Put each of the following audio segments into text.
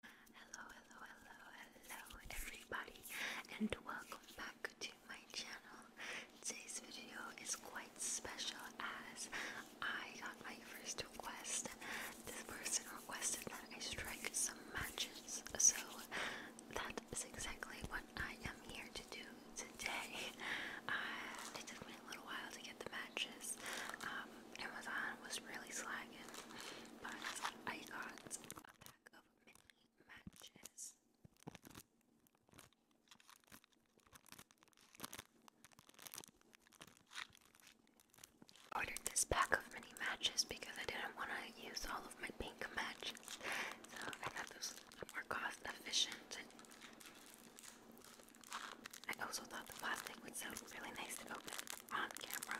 Hello, hello, hello, hello everybody and welcome back to my channel. Today's video is quite special as I got my first request. This person requested that I strike some matches. So that is exactly what I am here to do today. Uh, it took me a little while to get the matches. Um, Amazon was really slacking, but I got a pack of mini matches. Ordered this pack of mini matches because I didn't want to use all of my pink matches, so I got those more cost efficient. I also thought the plastic would sound really nice to open on camera.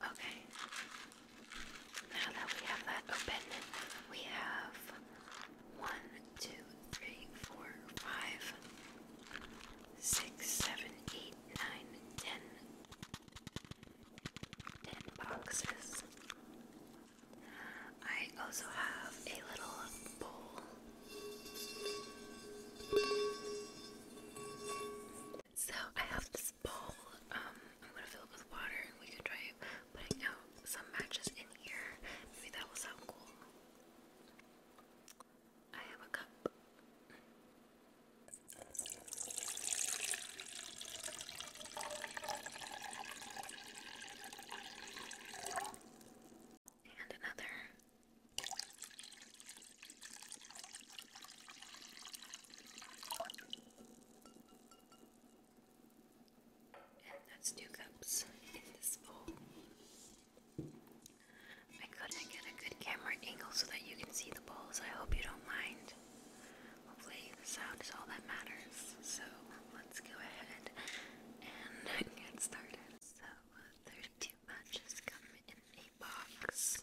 Okay. Now that we have that open, we have one, two, three, four, five, boxes. I also have a little bowl. So I have this bowl. I'm um, gonna fill it with water, and we can try putting out some matches in here. Maybe that will sound cool. I have a cup. And another that's two cups in this bowl. I couldn't get a good camera angle so that you can see the bowls. I hope you don't mind. Hopefully, the sound is all that matters. So, let's go ahead and get started. So, 32 matches come in a box.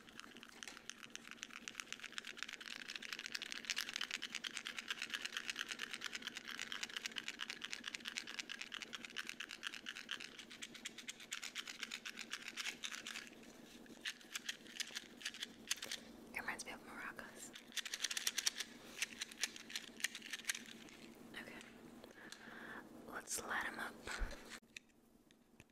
It reminds me of maracas. Okay, let's light him up.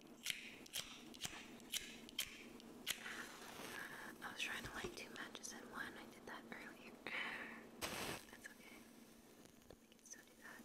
I was trying to light two matches in one. I did that earlier. That's okay. I can still do that.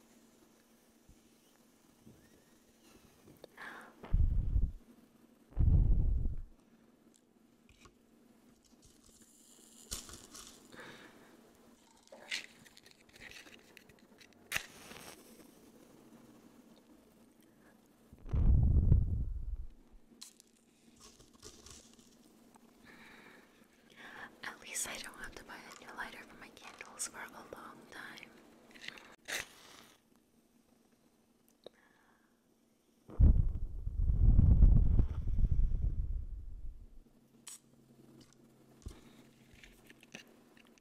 At least I don't have to buy a new lighter for my candles for a long time.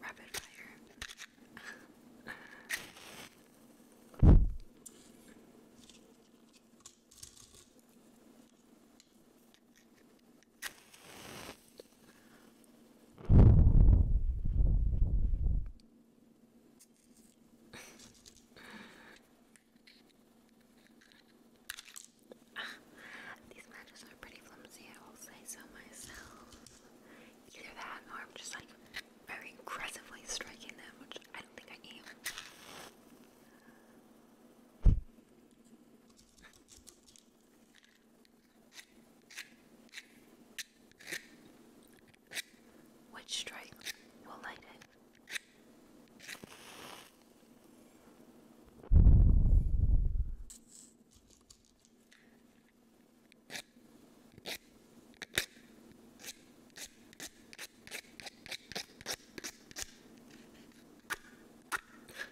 Rapid fire. These matches are pretty flimsy, I will say so myself. Either that or I'm just like very aggressively striking them, which I don't think I am. Which strike will light it?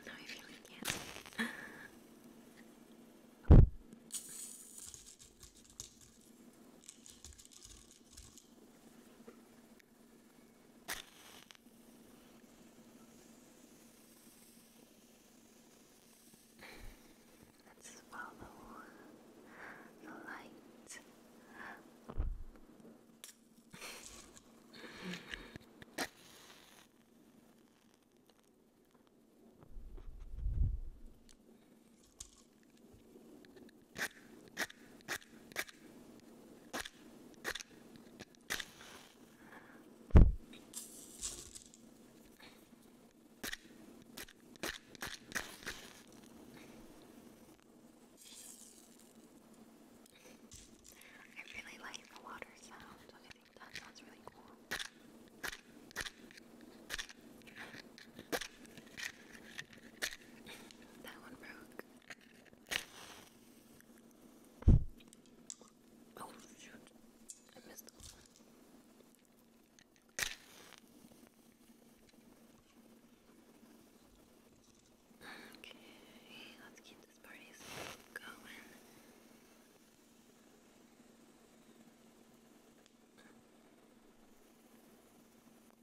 no, I really can't. Let's follow the light. I really like the water sound. I think that sounds really cool. That one broke. Oh shoot, I missed the one. Okay, let's keep this party going.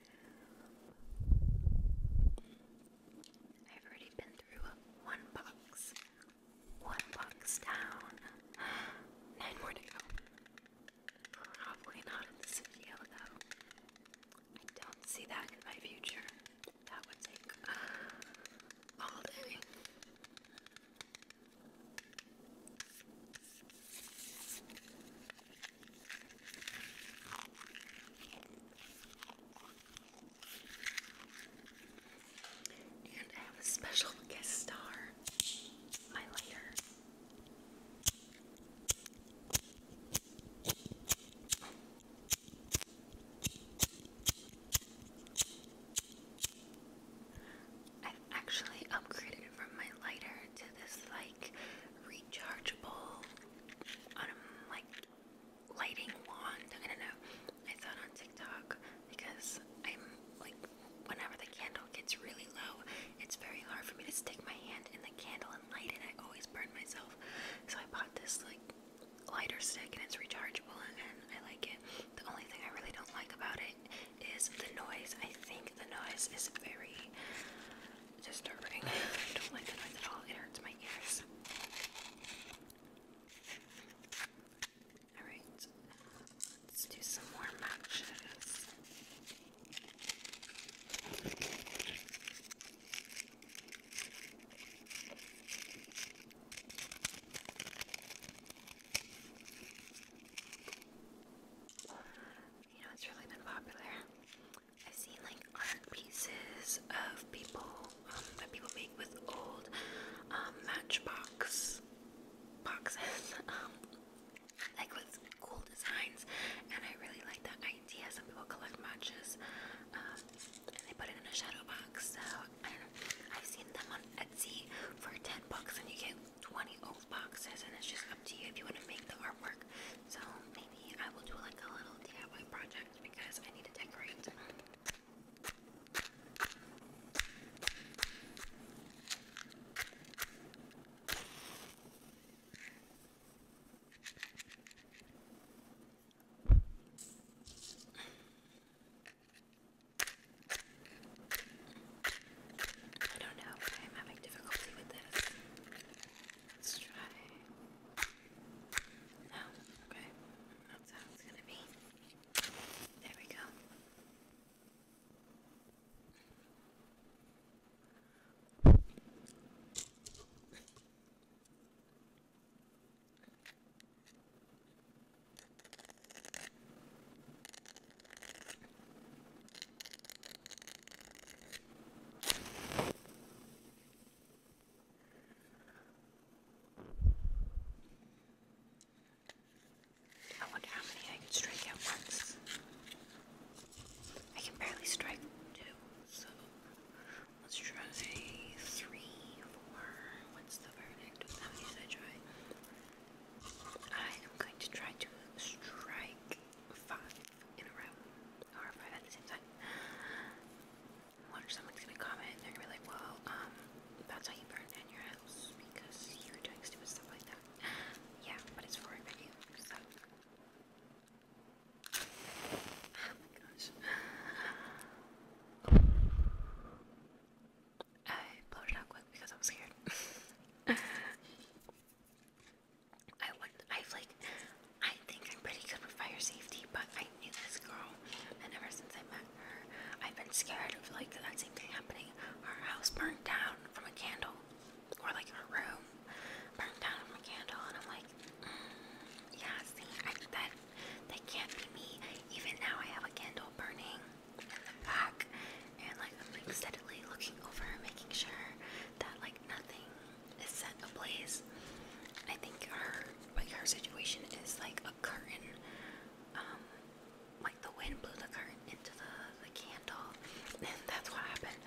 I've already been through one box. One box down. Nine more to go. Probably not this video though. I don't see that in my future. That would take all day. And I have a special guest star, my I've actually upgraded from my lighter to this like rechargeable um, like lighting wand. I don't know. I saw it on TikTok because I'm like whenever the candle gets really low, it's very hard for me to stick my hand in the candle and light it. I always burn myself. So I bought this like lighter stick and it's rechargeable and I like it. The only thing I really don't like about it is the noise. I think the noise is very disturbing. I don't like the noise at all. It hurts my ears. Alright, let's do some more matches you know, it's really been popular. i see like art pieces of people um, that people make with old um, matchbox boxes, um, like with cool designs, and I really like that idea. Some people collect matches um, and they put it in a shadow box. So I have seen them on Etsy for ten bucks, and you get 20 old boxes, and it's just up to you if you want to make the artwork. So maybe I will do like a little DIY project because I need to decorate. I don't know, but I'm having difficulty with this. Let's try. No, oh, okay. That's how it's gonna be. There we go. I wonder how many I can strike at once. I can barely strike two, so let's try three, four. What's the verdict? How many should I try? I am going to try to strike five in a row, or five at the same time. What someone's gonna comment? They're gonna be like, "Well, um, that's how you burn down your house because you were doing stupid stuff like that." Yeah, but it's for a video, so. Oh my gosh. I blowed out quick because I was scared. I would I've like I think I'm pretty good for fire safety, but I knew this girl and ever since I met her I've been scared of like that same thing happening. Our house burned down from a candle. Or like her room burned down from a candle and I'm like mm, yeah see I that that can't be me. Even now I have a candle burning in the back and like i like steadily looking over, making sure that like nothing is set ablaze. I think her like her situation is like a curtain. Um, like the wind blew the curtain into the the candle, and that's what happened.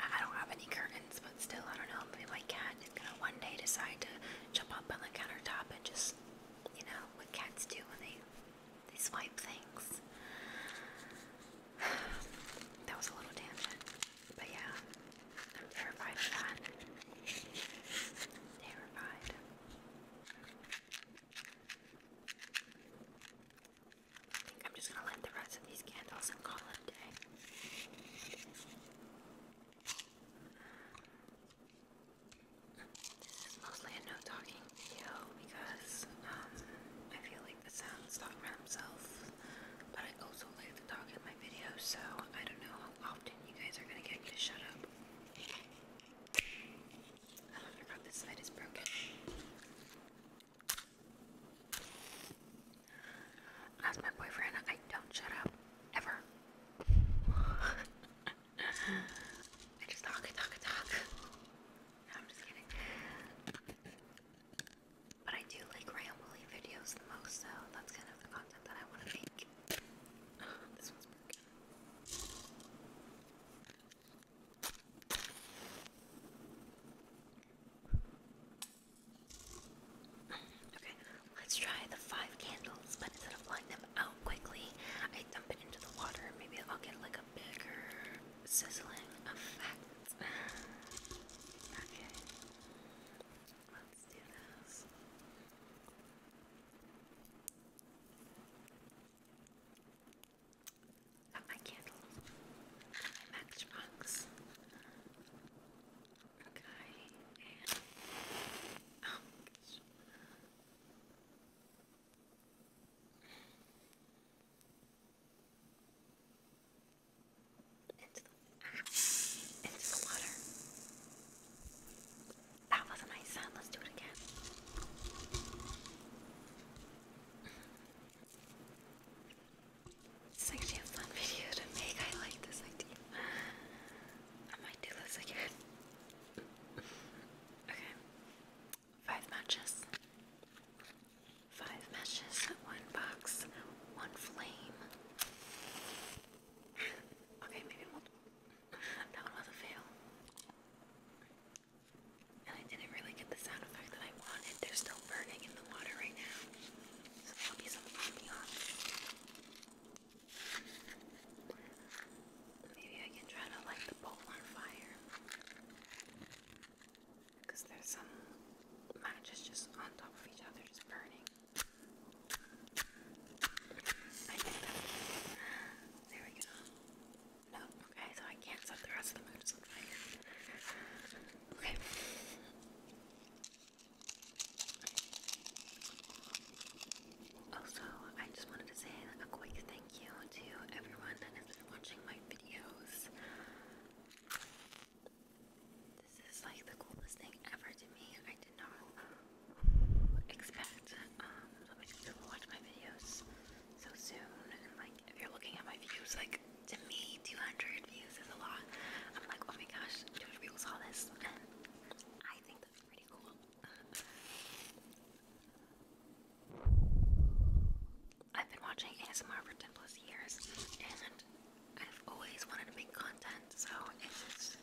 I don't have any curtains, but still, I don't know. Maybe my cat is gonna one day decide to jump up on the countertop and just, you know, what cats do when they they swipe things. that was a little tangent. But yeah, terrified Terrified. I think I'm just gonna light the rest of these candles and call it a day. This is mostly a no talking video because um, I feel the sounds talking about himself, but I also like to talk in my videos, so I don't know how often you guys are gonna get to shut up. Oh, I forgot this side is broken. As my boyfriend, I don't shut up. Ever. I just talk, talk, talk. I'm just kidding. But I do like rambling videos the most, so that's kind of the content that I want to make. Okay, let's try the five candles, but instead of blowing them out quickly, I dump it into the water. Maybe I'll get like bigger sizzling effect. okay, let's do this. Got my candle, matchbox. Okay, and oh. Gosh. Into the, water. That was a nice sound. Let's do it again. It's actually a video to make. I like this idea. I might do this again. okay. Five matches. Five matches, one box, one flame. okay, maybe That one was a fail. And I didn't really get the sound effect that I wanted. They're still burning in the water right now. So that'll be some Maybe I can try to light the bowl on fire because there's some matches just on top of each other, just burning. There we go. No, okay, so I can't set the rest of the matches on fire. Okay. Also, I just wanted to say a quick thank you to everyone that has been watching my videos. This is like the coolest thing ever to me. I did not expect um, so many people watch my videos so soon. And like, if you're looking at my views, like to me, 200 views is a lot. I'm like, oh my gosh, 200 people saw this. I think that's pretty cool. I've been watching ASMR for 10 plus years and I've always wanted to make content, so it's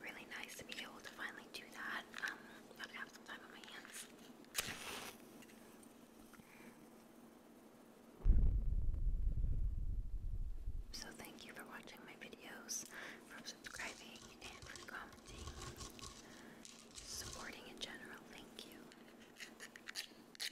really nice to be able to finally do that. Um, I have some time on my hands. So, thank you for watching my videos, for subscribing, and for commenting, supporting in general. Thank you.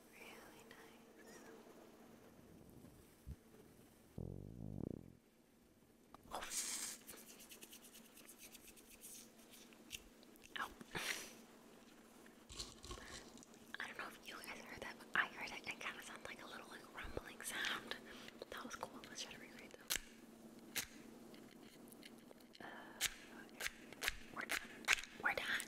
Really I don't know if you guys heard that, but I heard it. It kind of sounds like a little rumbling sound. That was cool. Let's try to recreate that. Uh, We're done. We're done.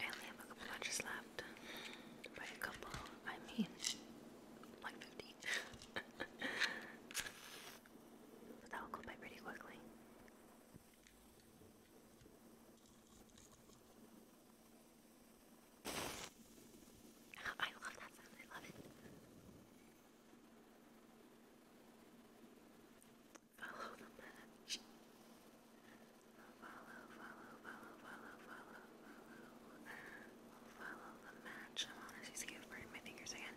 I only have a couple matches left. By a couple, I mean like 50. but that will go by pretty quickly. Oh, I love that sound. I love it. Follow the match. I'm honestly scared of burning my fingers again.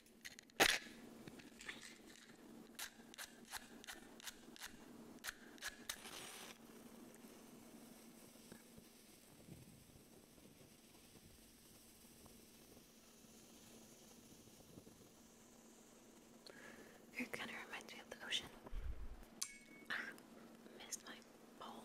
It kind of reminds me of the ocean. Ah, missed my bowl.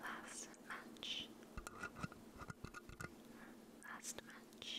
Last match. Last match.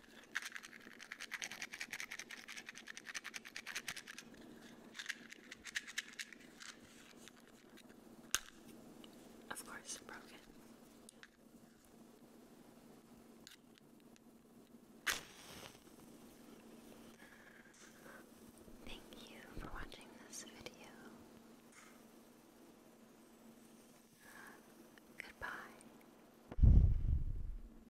Of course, broken. Thank you for watching this video. Goodbye.